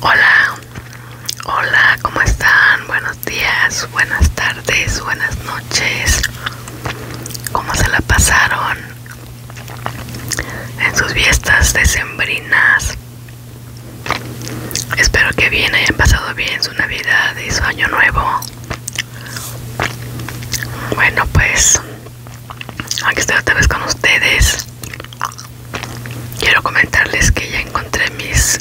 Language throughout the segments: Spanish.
Hola, hola, ¿cómo están? Buenos días, buenas tardes, buenas noches. ¿Cómo se la pasaron en sus fiestas decembrinas? Espero que bien hayan pasado bien su Navidad y su Año Nuevo. Bueno, pues aquí estoy otra vez con ustedes quiero comentarles que ya encontré mis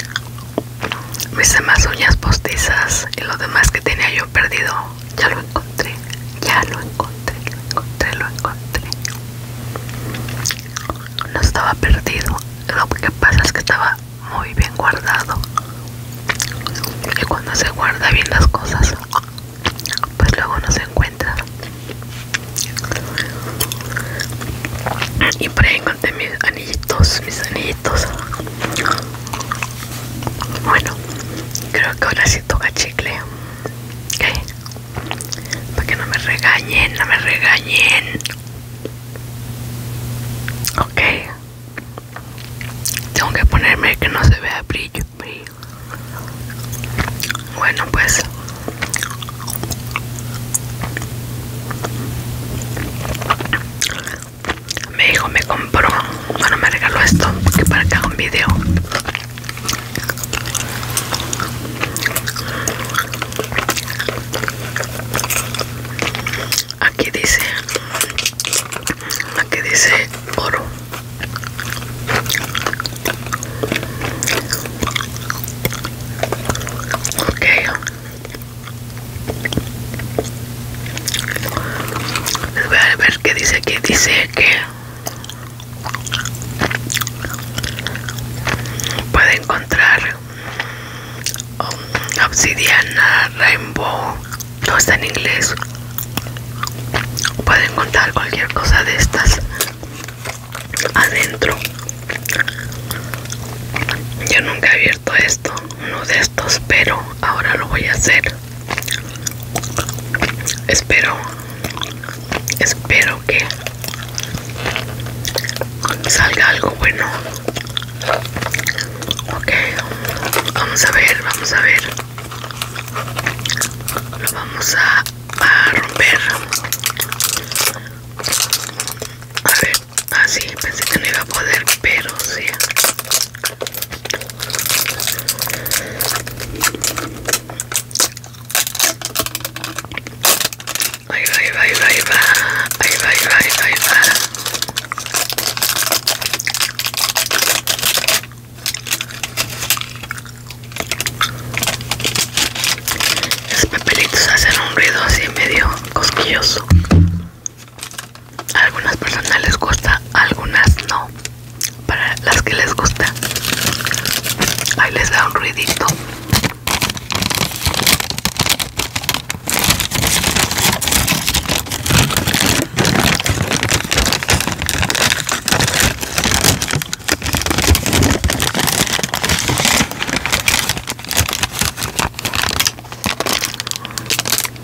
mis demás uñas postizas y lo demás que tenía yo perdido ya lo encontré ya lo encontré lo encontré lo encontré no estaba perdido lo que pasa es que estaba muy bien guardado y cuando se guarda bien las cosas pues luego no se encuentra y por ahí encontré mis anillitos mis anillitos bueno creo que ahora sí toca chicle para que no me regañen no me regañen ok tengo que ponerme que no se vea brillo bueno, pues mi hijo me compró, bueno, me regaló esto que para que haga un vídeo. Aquí dice, aquí dice oro. Ok. voy a ver qué dice aquí. Dice que puede encontrar obsidiana, rainbow. No está en inglés. Puede encontrar cualquier cosa de estas adentro yo nunca he abierto esto uno de estos pero ahora lo voy a hacer espero espero que salga algo bueno ok vamos a ver vamos a ver lo vamos a va a romper a ver así ah, pensé que no iba a poder pero sí va ahí va ahí va ahí va ahí va ahí va ahí va, ahí va. Los papelitos hacen un ruido así medio cosquilloso. A algunas personas les gusta, a algunas no. Para las que les gusta, ahí les da un ruidito.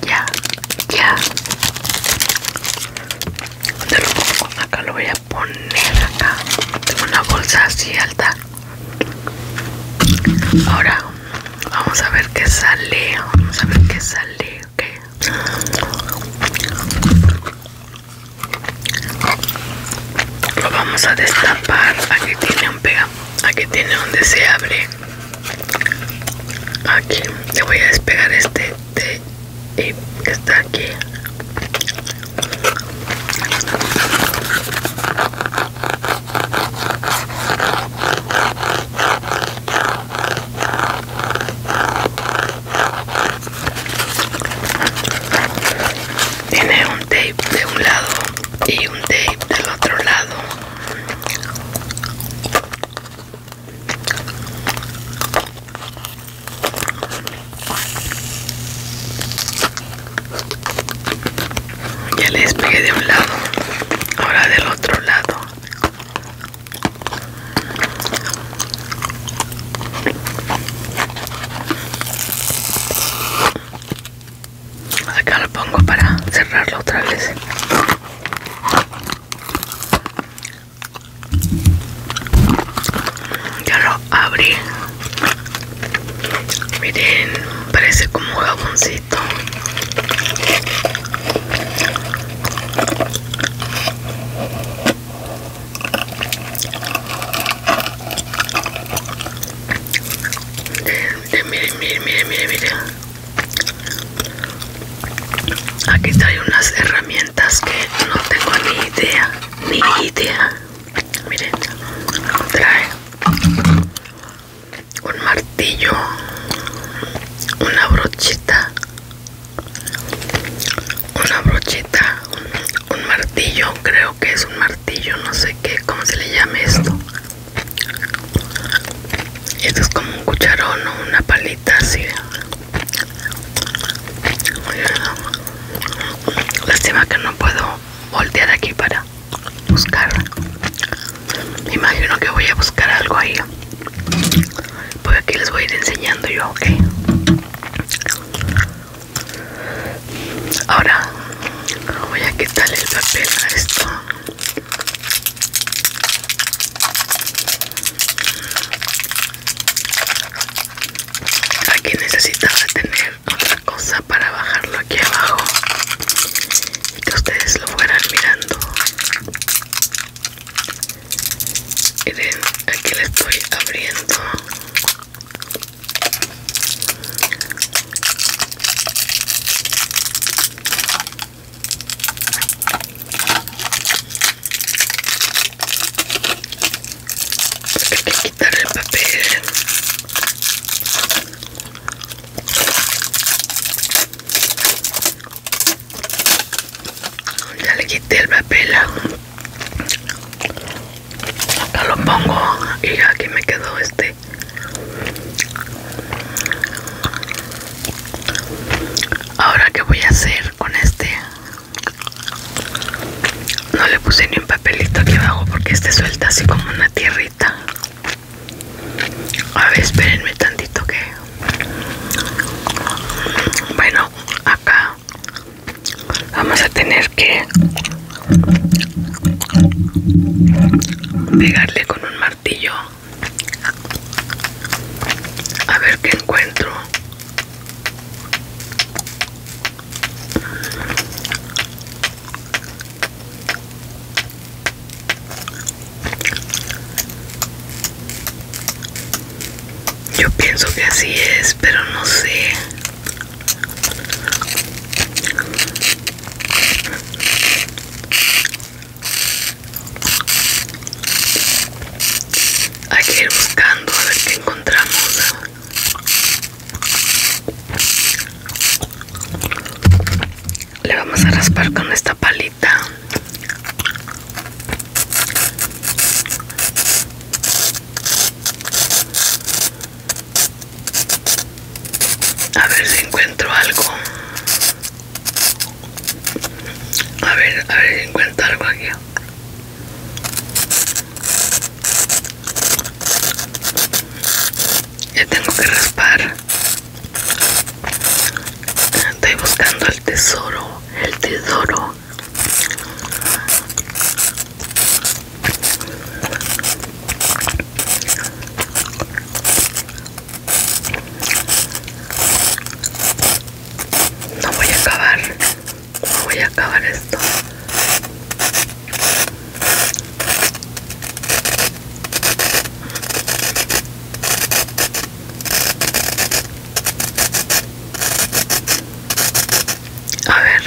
Ya, ya. lo Acá lo voy a poner acá. Tengo una bolsa así alta. Ahora vamos a ver qué sale. Vamos a ver qué sale. Lo vamos a destapar. Aquí tiene un pega. Aquí tiene donde se abre. Aquí te voy a despegar este y que está aquí. Tiene un tape de un lado y un tape del otro lado. Ya les pegué de un lado, ahora del otro lado. Acá lo pongo para cerrarlo otra vez. Ya lo abrí. Miren, parece como un jaboncito. Miren, miren, miren, miren, miren. Aquí trae unas herramientas que no tengo ni idea, ni idea. Miren, trae un martillo, una brochita, una brochita, un, martillo creo que es un martillo no sé qué cómo se le llama esto esto es como un cucharón o una palita así lástima que no puedo voltear aquí para buscar imagino que voy a buscar algo ahí pues aquí les voy a ir enseñando yo, ok. Ahora voy a quitarle el papel a esto. Aquí necesitaba tener otra cosa para bajarlo aquí abajo y que ustedes lo fueran mirando miren aquí la estoy abriendo porque hay que quitar el papel ya le quité el papel. Acá lo pongo y aquí me quedó este. Ahora qué voy a hacer con este. No le puse ni un papelito aquí abajo porque este suelta así como una tierrita. A ver, espérenme tantito que bueno, acá vamos a tener que pegarle con un martillo a ver qué encuentro yo pienso que así es, pero no sé. Hay que ir buscando a ver qué encontramos. Le vamos a raspar con esta palita. A ver si encuentro algo. A ver, a ver si encuentro algo aquí. Ya tengo que raspar. Estoy buscando el tesoro el tesoro no voy a acabar no voy a acabar esto a ver.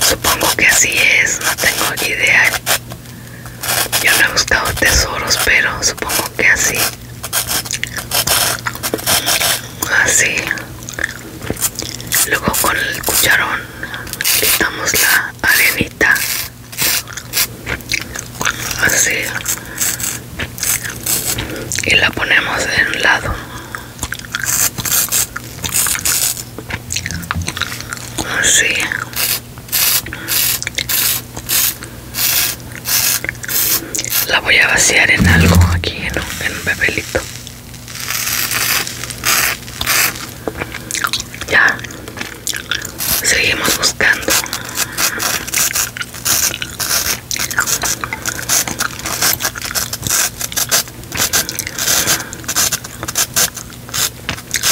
Supongo que así es, no tengo idea. Yo no he buscado tesoros, pero supongo que así. Así luego con el cucharón quitamos la arenita así y la ponemos en un lado así la voy a vaciar en algo aquí en un, bebelito. Ya seguimos buscando.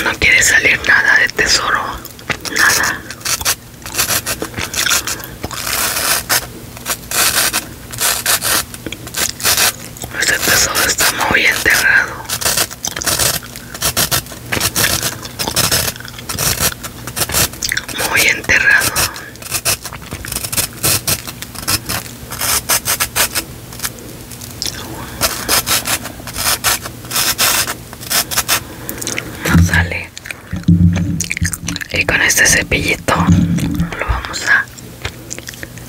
No quiere salir nada de tesoro, nada. Este tesoro está muy enterrado. Muy enterrado. No sale. Y con este cepillito lo vamos a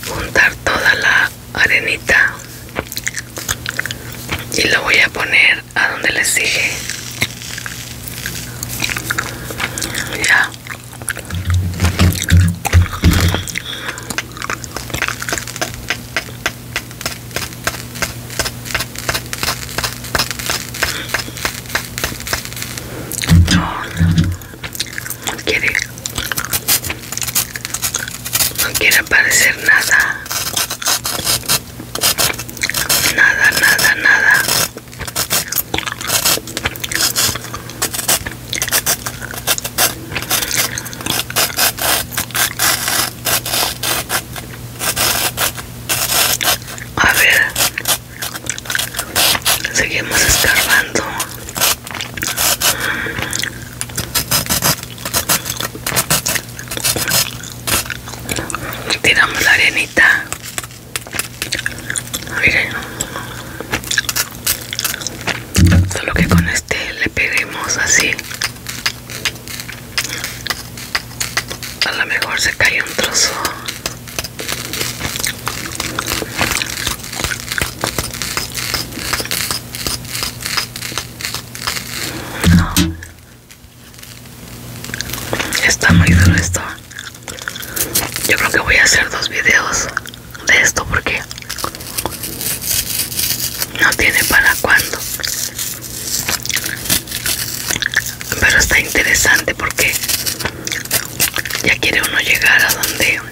juntar toda la arenita y lo voy a poner a donde le sigue no quiere no quiere aparecer nada nada nada nada a ver seguimos escarbando Tiramos la arenita. Mire. Solo que con este le peguemos así. A lo mejor se cae un trozo. Está muy duro esto. Yo creo que voy a hacer dos videos de esto porque no tiene para cuándo. Pero está interesante porque ya quiere uno llegar a donde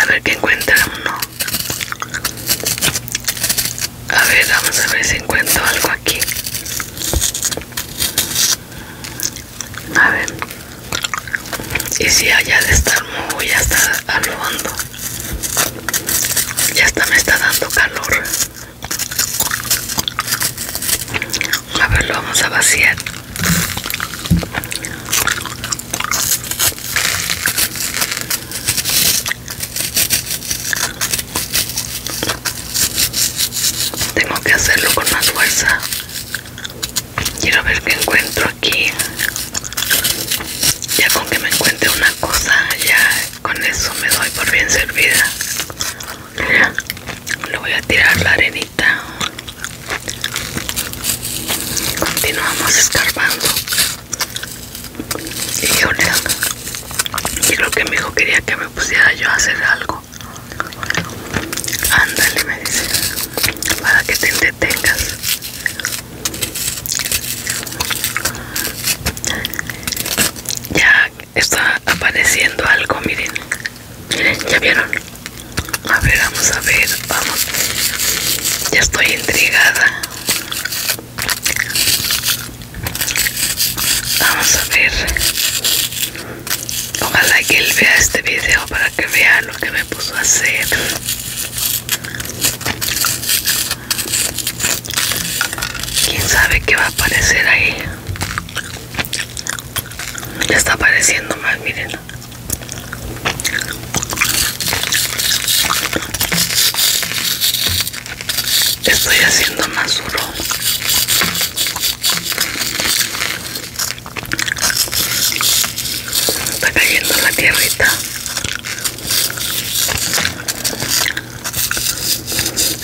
a ver qué encuentra uno a ver vamos a ver si encuentro algo aquí a ver y si allá de estar muy hasta al fondo ya está, me está dando calor a ver lo vamos a vaciar tengo que hacerlo con más fuerza. Quiero ver qué encuentro aquí. Ya con que me encuentre una cosa, ya con eso me doy por bien servida. Le voy a tirar la arenita. Continuamos escarbando. Y yo Y lo que mi hijo quería que me pusiera yo a hacer algo. Ándale, me dice. Para que te detengas. Ya está apareciendo algo, miren. Miren, ya vieron. A ver, vamos a ver, vamos. Ya estoy intrigada. Vamos a ver. Ojalá que él vea este video para que vea lo que me puso a hacer. Quién sabe qué va a aparecer ahí. Ya está apareciendo más, miren. Estoy haciendo más duro. Está cayendo la tierrita.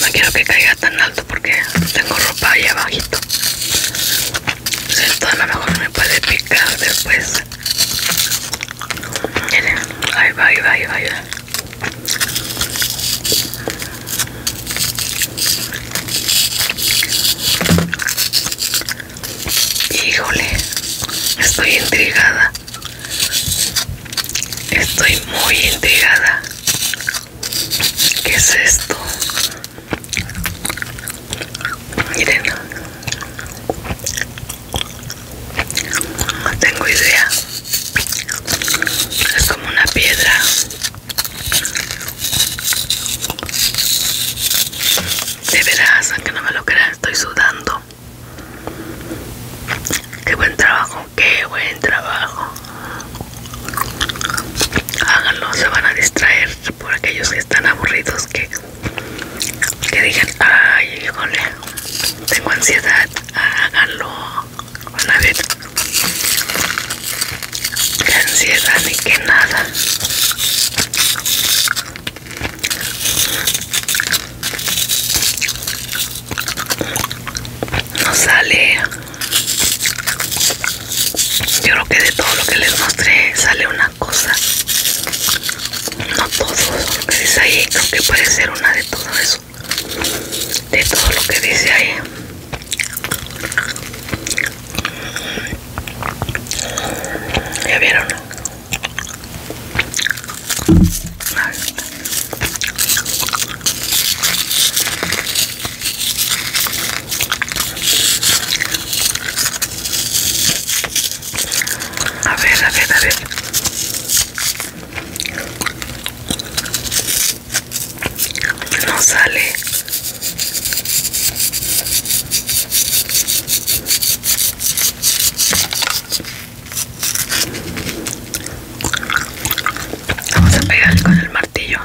No quiero que caiga tan alto porque tengo ropa ahí abajito esto a lo mejor me puede picar después miren ahí va ahí va ahí va, va. híjole estoy intrigada estoy muy intrigada ¿Qué es esto? Miren, no tengo idea. Es como una piedra. De veras, aunque no me lo creas, estoy sudando. Qué buen trabajo, qué buen trabajo háganlo se van a distraer por aquellos que están aburridos que que digan ay híjole tengo ansiedad háganlo van a ver que ansiedad ni que nada no sale yo creo que de todo lo que les mostré sale una cosa. No todo lo que dice ahí, creo que puede ser una de todo eso. De todo lo que dice ahí. ¿Ya vieron? A ver, a ver, a ver. No sale. Vamos a pegar con el martillo.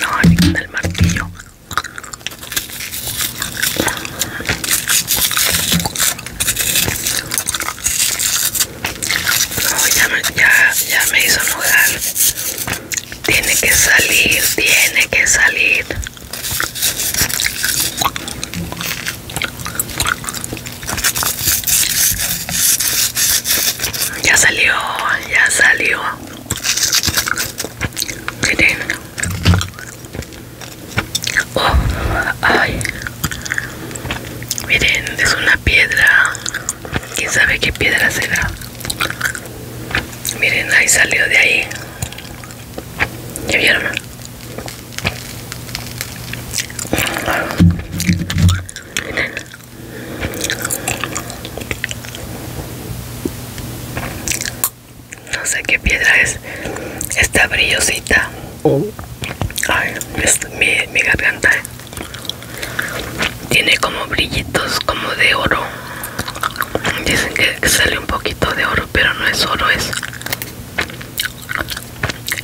No, ni el martillo. ya me, hizo Tiene que salir, tiene que salir. Ya salió, ya salió. Miren. Oh, ay. Miren, es una piedra. ¿Quién sabe qué piedra será? Miren, ahí salió de ahí. ¿Ya vieron? No sé qué piedra es. esta brillosita. Oh. Ay, mi, garganta. Tiene como brillitos como de oro. Dicen que sale un poquito de oro, pero no es oro, es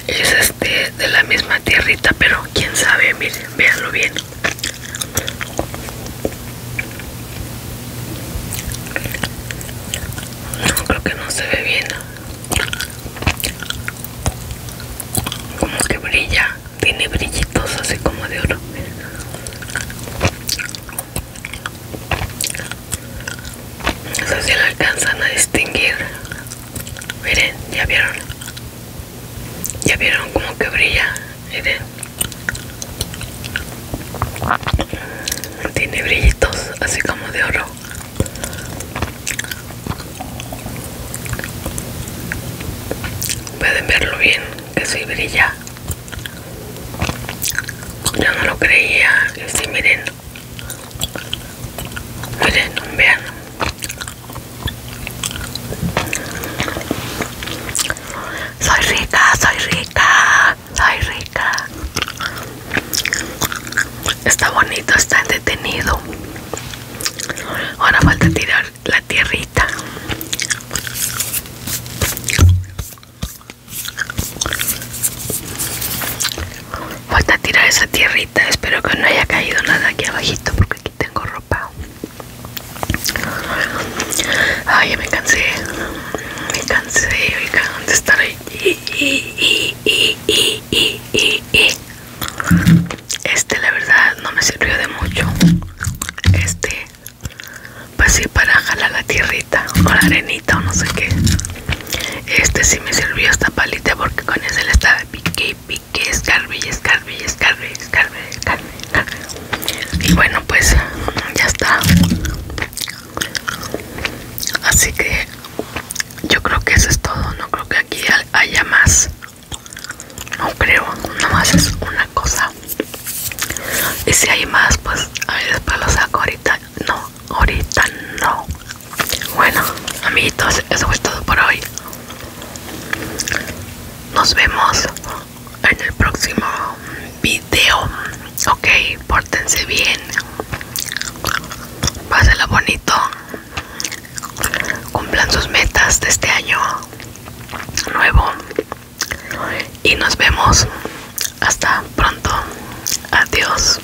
es este de la misma tierrita pero quién sabe miren véanlo bien no creo que no se ve bien como que brilla tiene brillitos así como de oro no sé si la alcanzan a distinguir Miren, ya vieron. Ya vieron como que brilla. Miren. Tiene brillitos así como de oro. Pueden verlo bien, que sí brilla. Yo no lo creía. Y sí, miren miren vean soy rica soy rica soy rica está bonito está detenido ahora falta tirar la tierrita a tirar esa tierrita. Espero que no haya caído nada aquí abajito porque aquí tengo ropa. Ay, ya me cansé. Me cansé, de estar ahí. Este, la verdad, no me sirvió de mucho. Este, pasé pues para jalar la tierrita o la arenita o no sé qué. Este sí me sirvió esta palita porque con ese le estaba pique, pique, escarbe y escarbe escarbe, Y bueno, pues ya está. Así que yo creo que eso es todo. No creo que aquí haya más. No creo, más es una cosa. Y si hay más, pues a ver, después lo saco ahorita. No, ahorita no. Bueno, amiguitos, eso fue todo por hoy. Nos vemos en el próximo video. Ok, pórtense bien. pásenlo bonito. Cumplan sus metas de este año nuevo. Y nos vemos. Hasta pronto. Adiós.